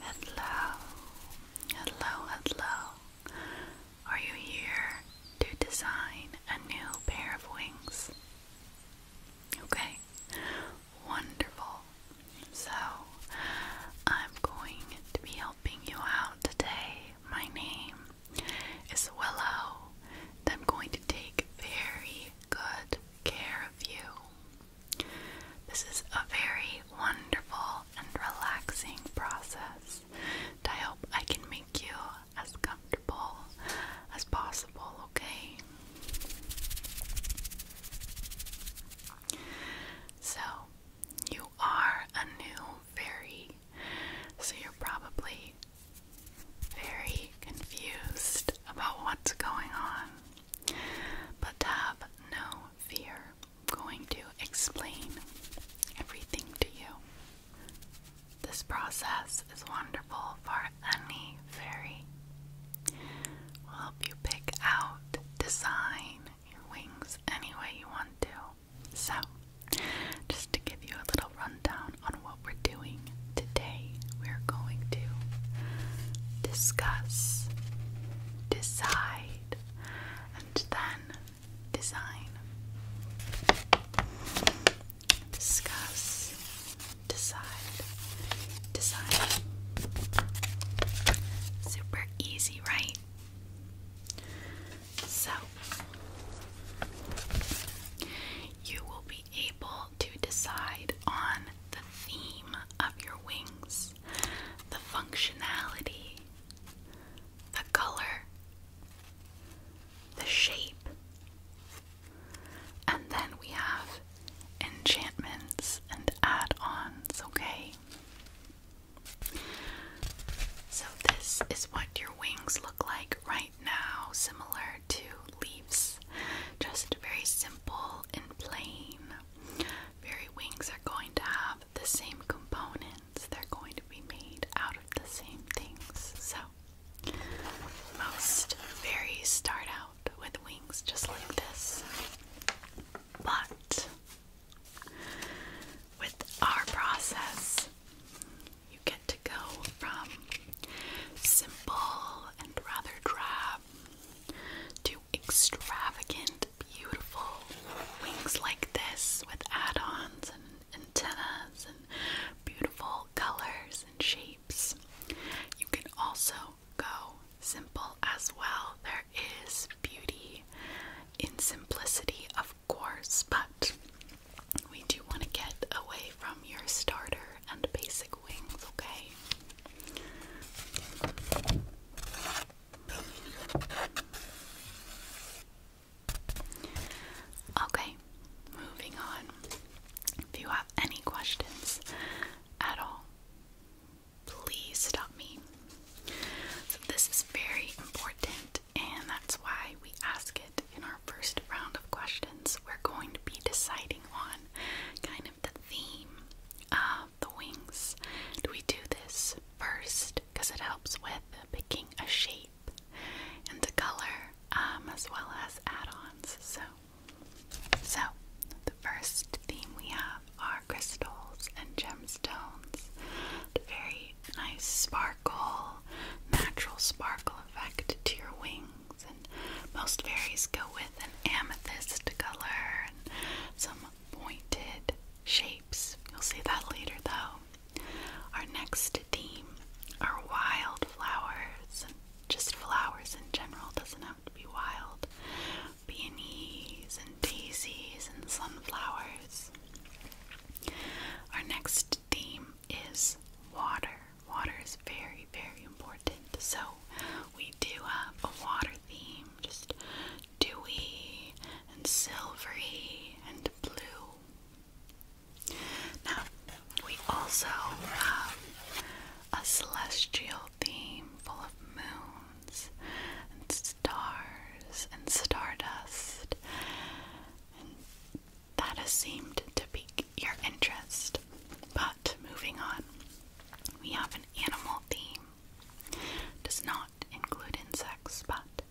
Hello, hello, hello. Are you here to design a new pair of wings? Okay, wonderful. So, I'm going to be helping you out today. My name is Willow. I'm going to take very good care of you. This is a very wonderful and relaxing process. I hope I can make you as comfortable as possible, okay? So, you are a new fairy, so you're probably very confused about what's going on, but have no fear. I'm going to explain everything to you. This process is wonderful for any fairy. We'll help you pick out, design your wings any way you want to. So, just to give you a rundown on what we're doing. Today, we're going to discuss, decide, and then design. Discuss, decide, design. Super easy, right? So, you will able to decide on the theme of your wings, the functionality, the color, the shape. And then we have enchantments and add ons, okay? So, this is what your wings look like right now, similar to leaves, just very simple and plain. Very wings are going to have the same components, they're going to be made out of the same things. So, most fairies start out with wings just like this, but with our process, you get to go from simple and rather drab to extravagant, beautiful wings like this with add ons and antennas and beautiful colors and shapes. You can also go simple as well. There is beauty in simplicity, of course, but we do want to get away from your starter and basic wings, okay? Okay, moving on. If you have any questions at all, please stop me. So, this is very important, and that's why we ask it in our first round of questions, we're going to be deciding on kind of the theme of the wings. we do this first because it helps with picking a shape and a color um, as well as add ons? So, so, the first theme we have are crystals and gemstones. very nice sparkle, natural sparkle effect to your wings. And most fairies go with an amethyst color and some pointed shapes. You'll see that later though. Our next theme are wild flowers and just flowers in general, doesn't have to be wild. Peonies and daisies and sunflowers. Our next theme is water. Water is very, very important. So we do have a water theme, just dewy and silvery and blue. Now we also have a celestial theme full of moons and stars and stardust that has seemed to pique your interest. But moving on, we have an animal theme. Does not include insects, but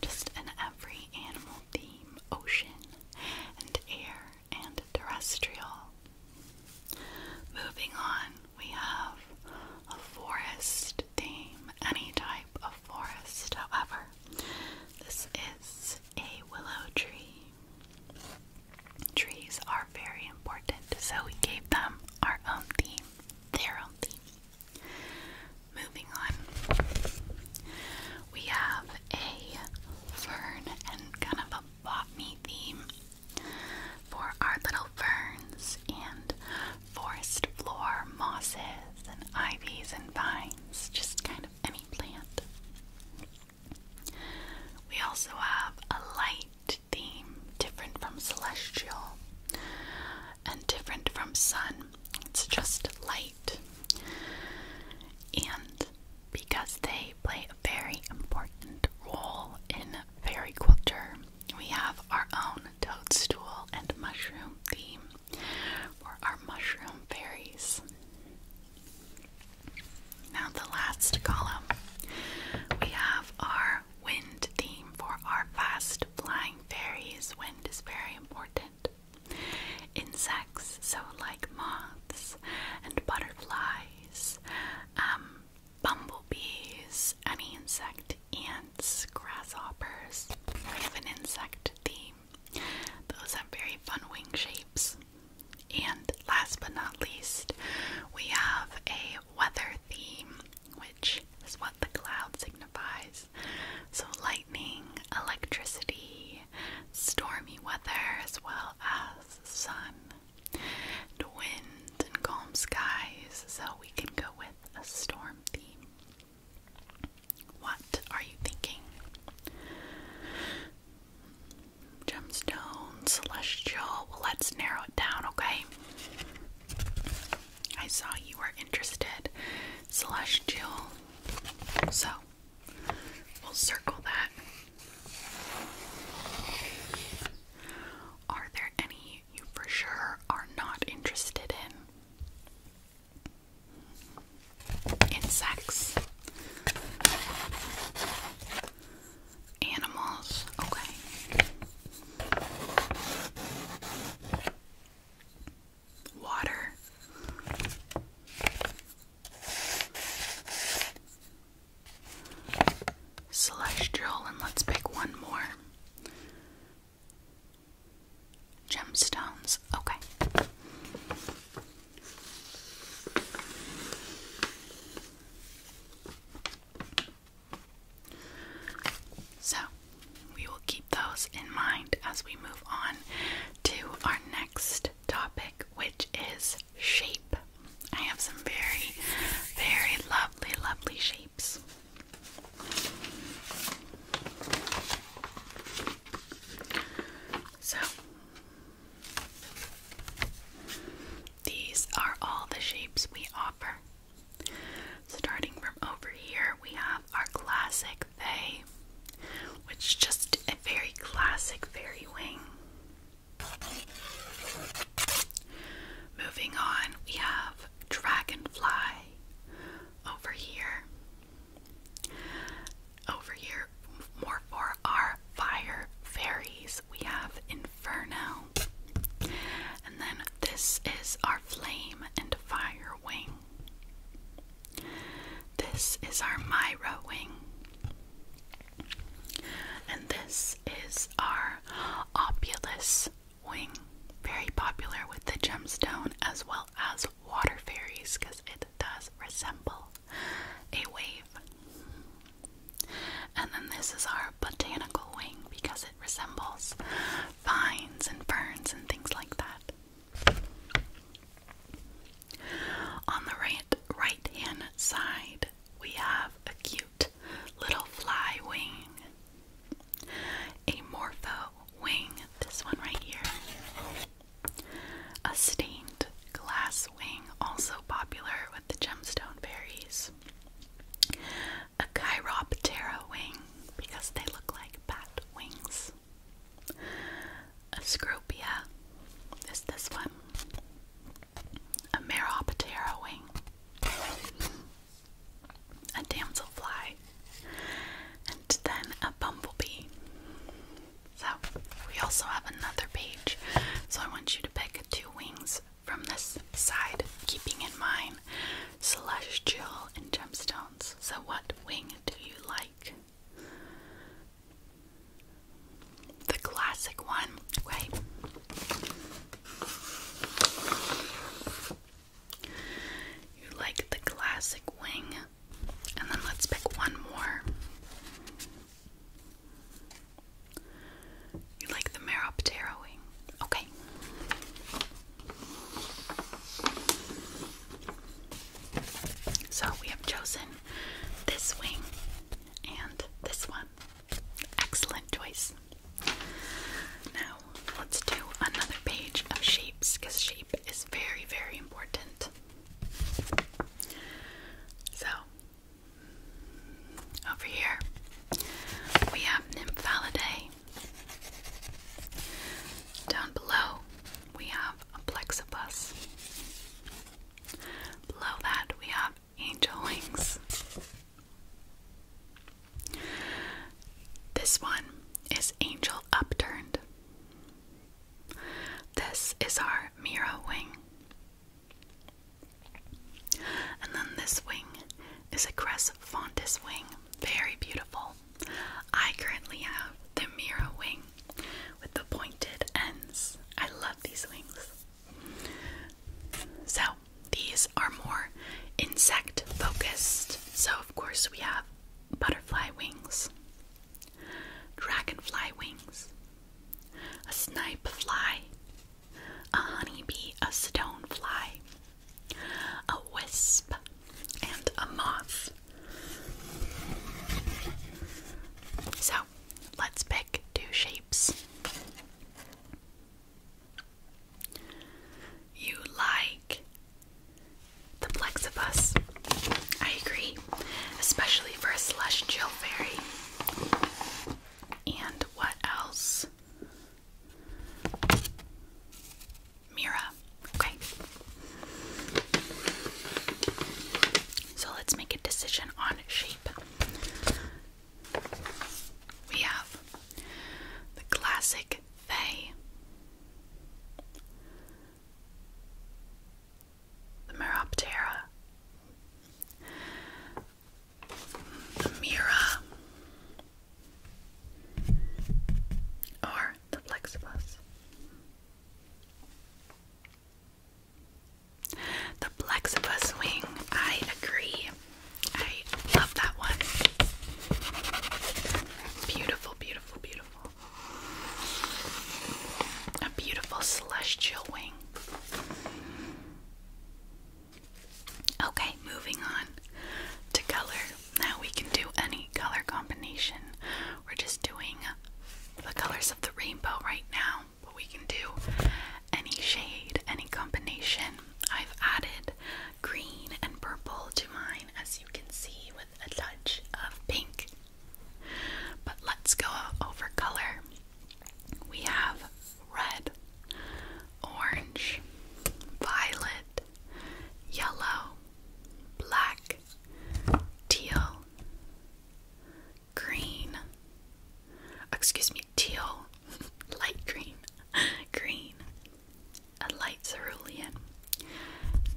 just an every animal theme ocean and air and terrestrial. Moving on, we have a forest theme, any type of forest, however. This is a willow tree. Trees are very important, so we gave them our own theme, their own theme. Moving on, we have a fern and kind of a botany theme for our little ferns and forest floor mosses and ivies and vines, just kind of any plant. We also have a light theme, different from celestial and different from sun. It's just light. And because they play a very important role in fairy culture, we have our own toadstool and mushroom theme for our mushroom fairies. Now, the last column we have our wind theme for our fast flying fairies. Wind is very important. Insects, so like moths and butterflies, um, bumblebees, any insect, ants, grasshoppers. We have an insect theme. Those have very fun wing shapes. And last but not least, we have a weather theme, which is what the cloud signifies. So, lightning, electricity, stormy weather, as well as sun, wind, and calm skies. So, we can go with a storm theme. What are you thinking? gemstone, celestial. let's narrow it down, okay? I saw you were interested, celestial. So we'll circle that. Are there any you for sure are not interested in? insects, animals. Okay. Water. drill, and let's pick one more. Gemstones. Okay. So, we will keep those in mind as we move on to our next topic, which is shape. I have some very, very lovely, lovely shapes. So, these are all the shapes we offer. Starting from over here, we have our classic they, which is just a very classic fairy wing. Moving on, we have dragonfly over here. Over here, more for our fire fairies, we have Inferno. And then this is our flame and fire wing. This is our Myra wing. And this is our Opulus wing. Very popular with the gemstone as well as water fairies because it does resemble a wave. And then this is our botanical wing because it resembles vines and ferns and things like that. On the right right hand side, we have a cute little fly wing, a morpho wing, this one right here. A stained glass wing, also popular with the gemstone berries. A chiroptera wing, because they look like bat wings. A scropia is this one. A meroptera wing. A damselfly. And then a bumblebee. So, we also have another page. So, I want you to pick two wings from this side, keeping in mind celestial and gemstones. So, what wing do you like? The classic one, right? You like the classic wing and then let's pick one more. You like the Meroptera wing? Okay. So we have chosen this wing and this one. Excellent choice. Now let's do another page of shapes because shape is very, very important. So, over here we have Nymphalidae. Down below we have a plexibus. Below that we have angel wings. This one is angel upturned. This is our or wing. And then this wing is a Crescentis wing, very beautiful. I currently have the mirror wing with the pointed ends. I love these wings. So, these are more insect focused. So, of course, we have butterfly wings, dragonfly wings, a snipe fly, a honey bee, a stone fly, a wisp, and a moth. So let's pick two shapes. You like the plexibus. I agree, especially for a slush celestial fairy. And what else? Mira. Okay. So let's make a decision on shape. We have the classic Fay the Meroptera, the Mira, or the Plexibus. The Plexibus wing, I agree. I love that one. Beautiful, beautiful, beautiful. A beautiful celestial wing. Okay, moving on to color. Now we can do any color combination. We're just doing the colors of the rainbow right now, but we can do any shade, any combination. I've added green and purple to mine, as you can see, with a touch of pink. But let's go over color. We have red, orange, violet, yellow, black, teal, green, excuse me, teal, light green, green, a light cerulean,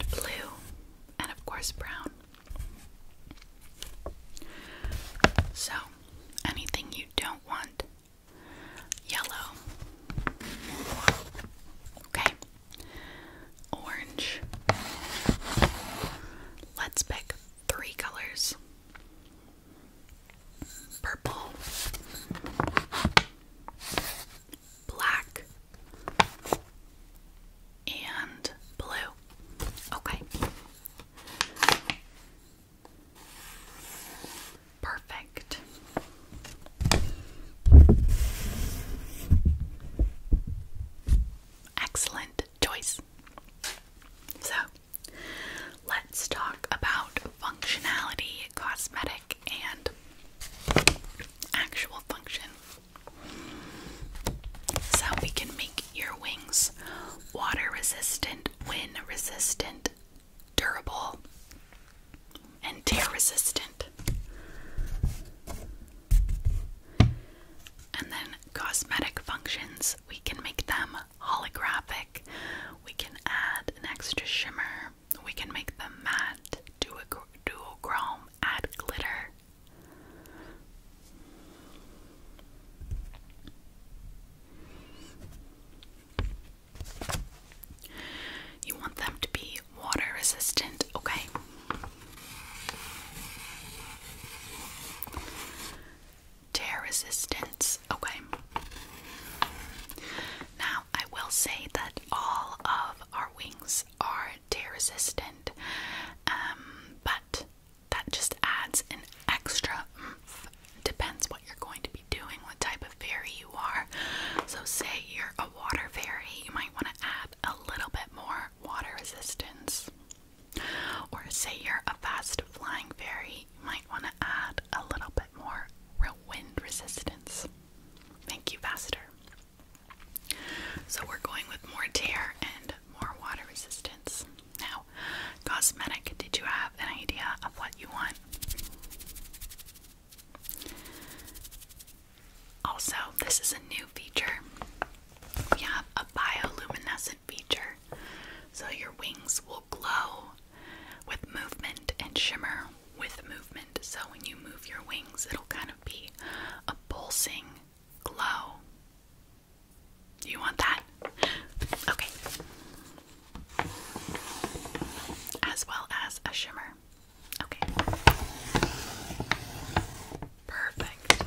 blue, and of course brown. So, anything you don't want, yellow, okay, orange. Let's pick three colors purple, black, and blue. Okay. Perfect. Excellent choice. So, let's talk about functionality, cosmetic, and actual function. So we can make your wings water resistant, wind resistant, durable, and tear resistant. And then cosmetic functions, we can make them holographic. We can add an extra shimmer. We can make them matte, duochrome, add glitter. You want them to be water resistant, okay? Tear resistant okay? Now, I will say that all of our wings are tear resistant, um, but that just adds an extra Depends what you're going to be doing, what type of fairy you are. So, say you're a water fairy, you might want to add a little bit more water resistance. Or, say you're a fast flying fairy, you might want to add a little bit more real wind resistance. Make you faster. So, we're going with more tear and more water resistance. Now, cosmetic, did you have an idea of what you want? Also, this is a new feature. We have a bioluminescent feature, so your wings will glow with movement and shimmer with movement. So, when you move your wings, it'll kind of be a pulsing glow. You want that? Okay. As well as a shimmer. Okay. Perfect.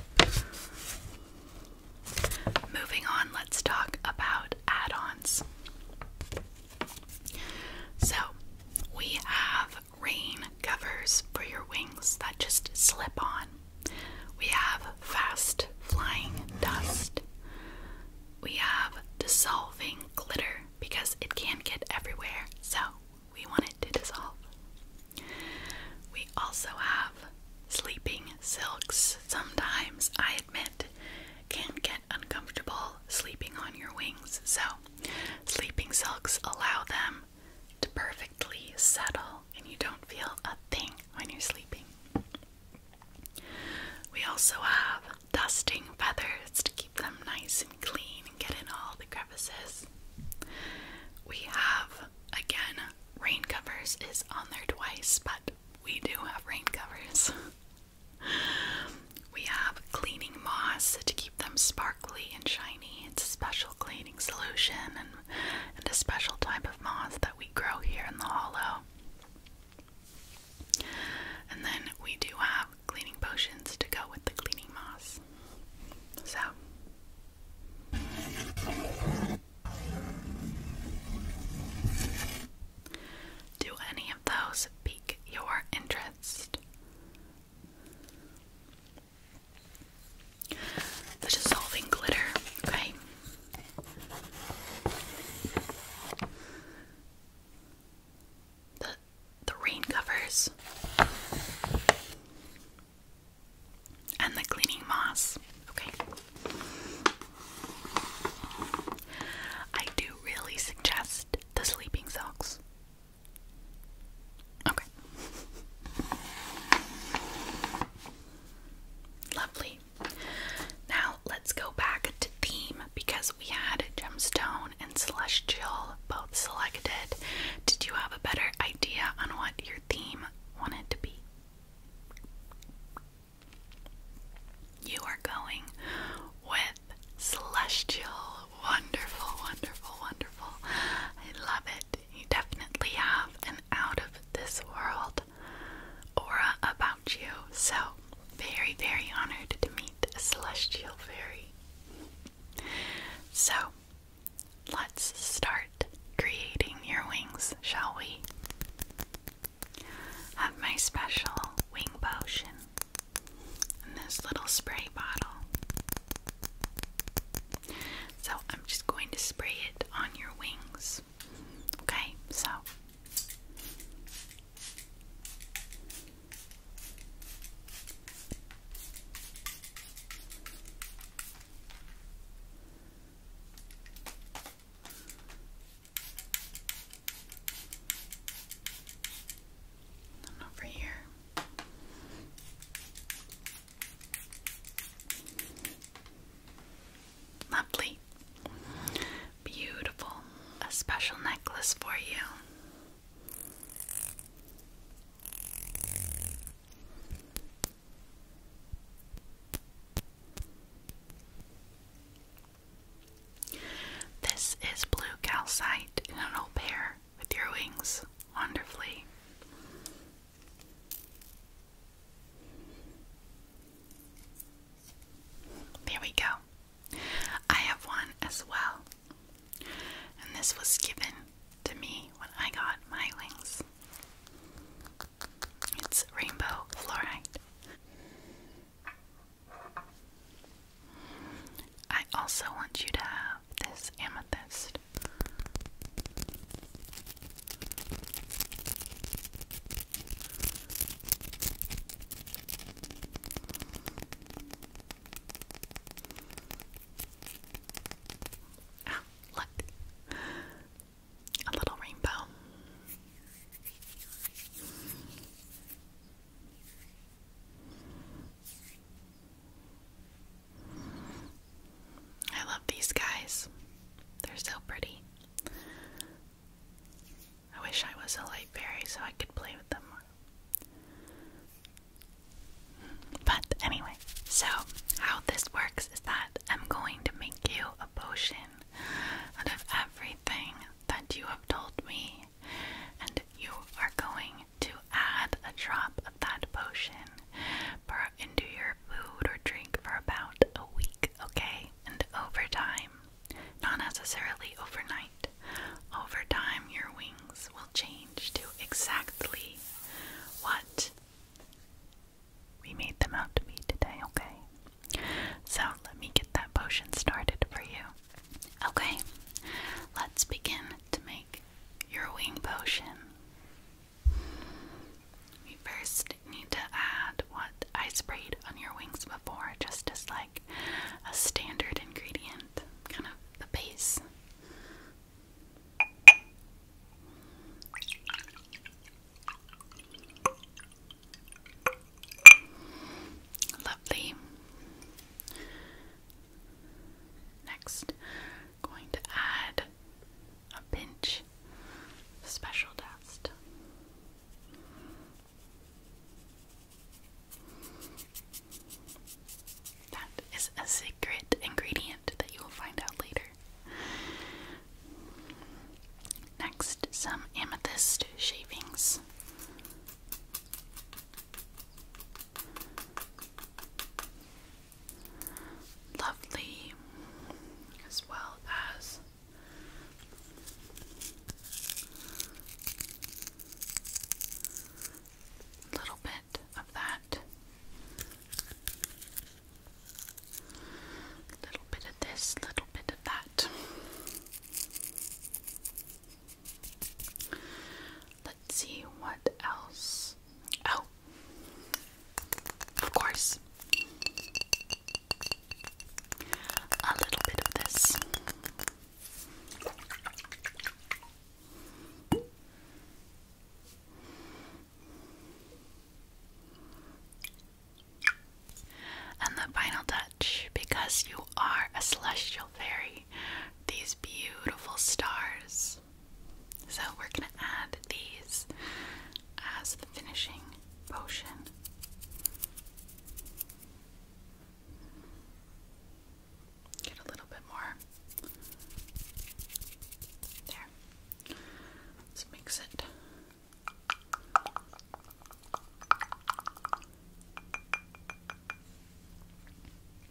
Moving on, let's talk about add ons. So, we have rain covers for your wings that just slip on. We have fast flying dust. We have dissolving glitter because it can not get everywhere, so we want it to dissolve. We also have sleeping silks. Sometimes, I admit, can get uncomfortable sleeping on your wings, so sleeping silks allow them to perfectly settle and you don't feel a thing when you're sleeping. We also have dusting feathers to keep them nice and clean and get in all the crevices. We have, again, rain covers is on there twice, but we do have rain covers. we have cleaning moss to keep them sparkly and shiny. It's a special cleaning solution and and a special type of moss that we grow here in the hollow. And then we do have cleaning potions to go with the cleaning moss. So. Do any of those pique your interest? the dissolving glitter, okay? The the rain covers and the cleaning moss. Okay. I do really suggest the sleeping socks. Okay. Lovely. Now let's go back to theme because we had gemstone and celestial both selected. Did you have a better idea on what your theme wanted to be? You are going with celestial. Wonderful, wonderful, wonderful. I love it. You definitely have an out of this world aura about you. So, very, very honored to meet celestial fairy. So, let's start creating your wings, shall we? Have my special wing potion in this little spray bottle. So I'm just going to spray it on your wings. Okay, so. And over here. Lovely. Beautiful. A special necklace for you. This is blue calcite in an old pair with your wings wonderfully. There we go. I have one as well. And this was given to me when I got my wings. It's rainbow fluoride. I also want you to have this amethyst first. Ah, look. A little rainbow. I love these guys. They're so pretty. I wish I was a light fairy so I could play with them But anyway, so how this works is that I'm going to make you a potion out of everything that you have told me, and you are going to add a drop that potion into your food or drink for about a week, okay? And over time, not necessarily overnight, over time your wings will change to exactly what we made them out to be today, okay? So let me get that potion started for you. Okay, let's begin to make your wing potion. We first need to add what I sprayed on your wings before, just as like a standard ingredient, kind of the base. Lovely. Next, going to add a pinch special dust. That is a secret ingredient that you will find out later. Next, some amethyst shavings lovely, as well as a little bit of that, a little bit of this, a little bit of that. Let's see what else Oh, of course. A little bit of this. And the final touch, because you are a celestial fairy, these beautiful stars. So we're going to add these as the finishing potion. Get a little bit more. There. Let's mix it.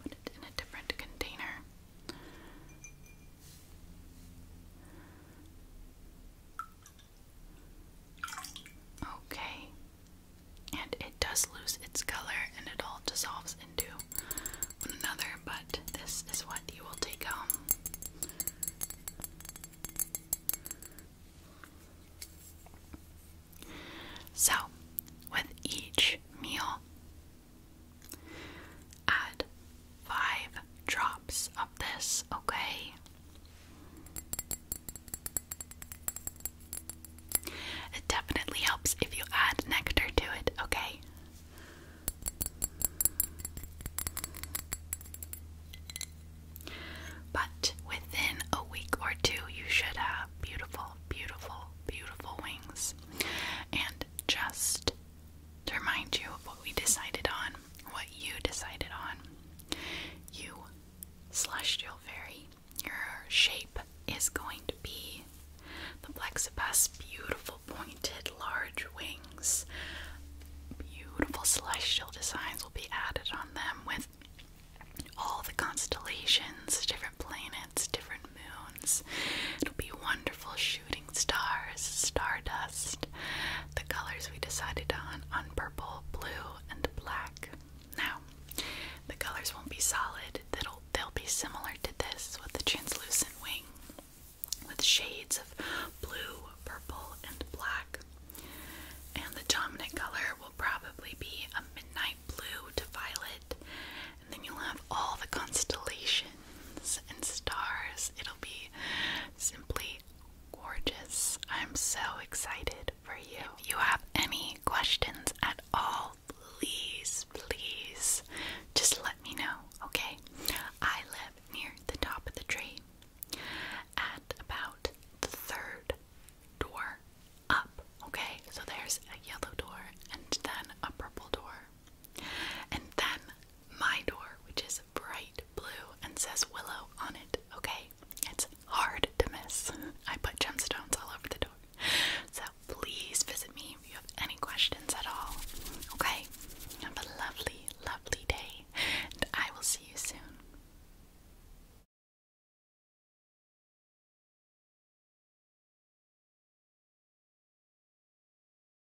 Put it in a different container. Okay. And it does lose its color and it all dissolves into one another, but this is what you will take home. So, with each meal, Add five drops of this, okay? It definitely helps if you add nectar to it, okay? But within a week or two, you should have beautiful, beautiful, beautiful wings. And just to remind you of what we decided on, what you decided on. You, celestial fairy, your shape is going to be the Plexibus, beautiful pointed, large wings. Beautiful celestial designs will be added on them with all the constellations, different planets, different moons. It'll be wonderful shooting shooting stars, stardust. The colors we decided on on purple, blue, and black. Now, the colors won't be solid. They'll they'll be similar to this with the translucent wing with shades of blue, purple, and black. And the dominant color will probably be a midnight blue to violet. And then you'll have all the constellations and stars. It'll be simply gorgeous. I'm so excited for you. you have any questions at all, please, please just let me know, okay? I live near the top of the tree at about the third door up, okay? So there's a yellow door and then a purple door. And then my door, which is bright blue and says Willow on it, okay? It's hard to miss. I put gemstones all over the door. So please visit me if you have any questions at all, okay? Have a lovely, lovely day, and I will see you soon.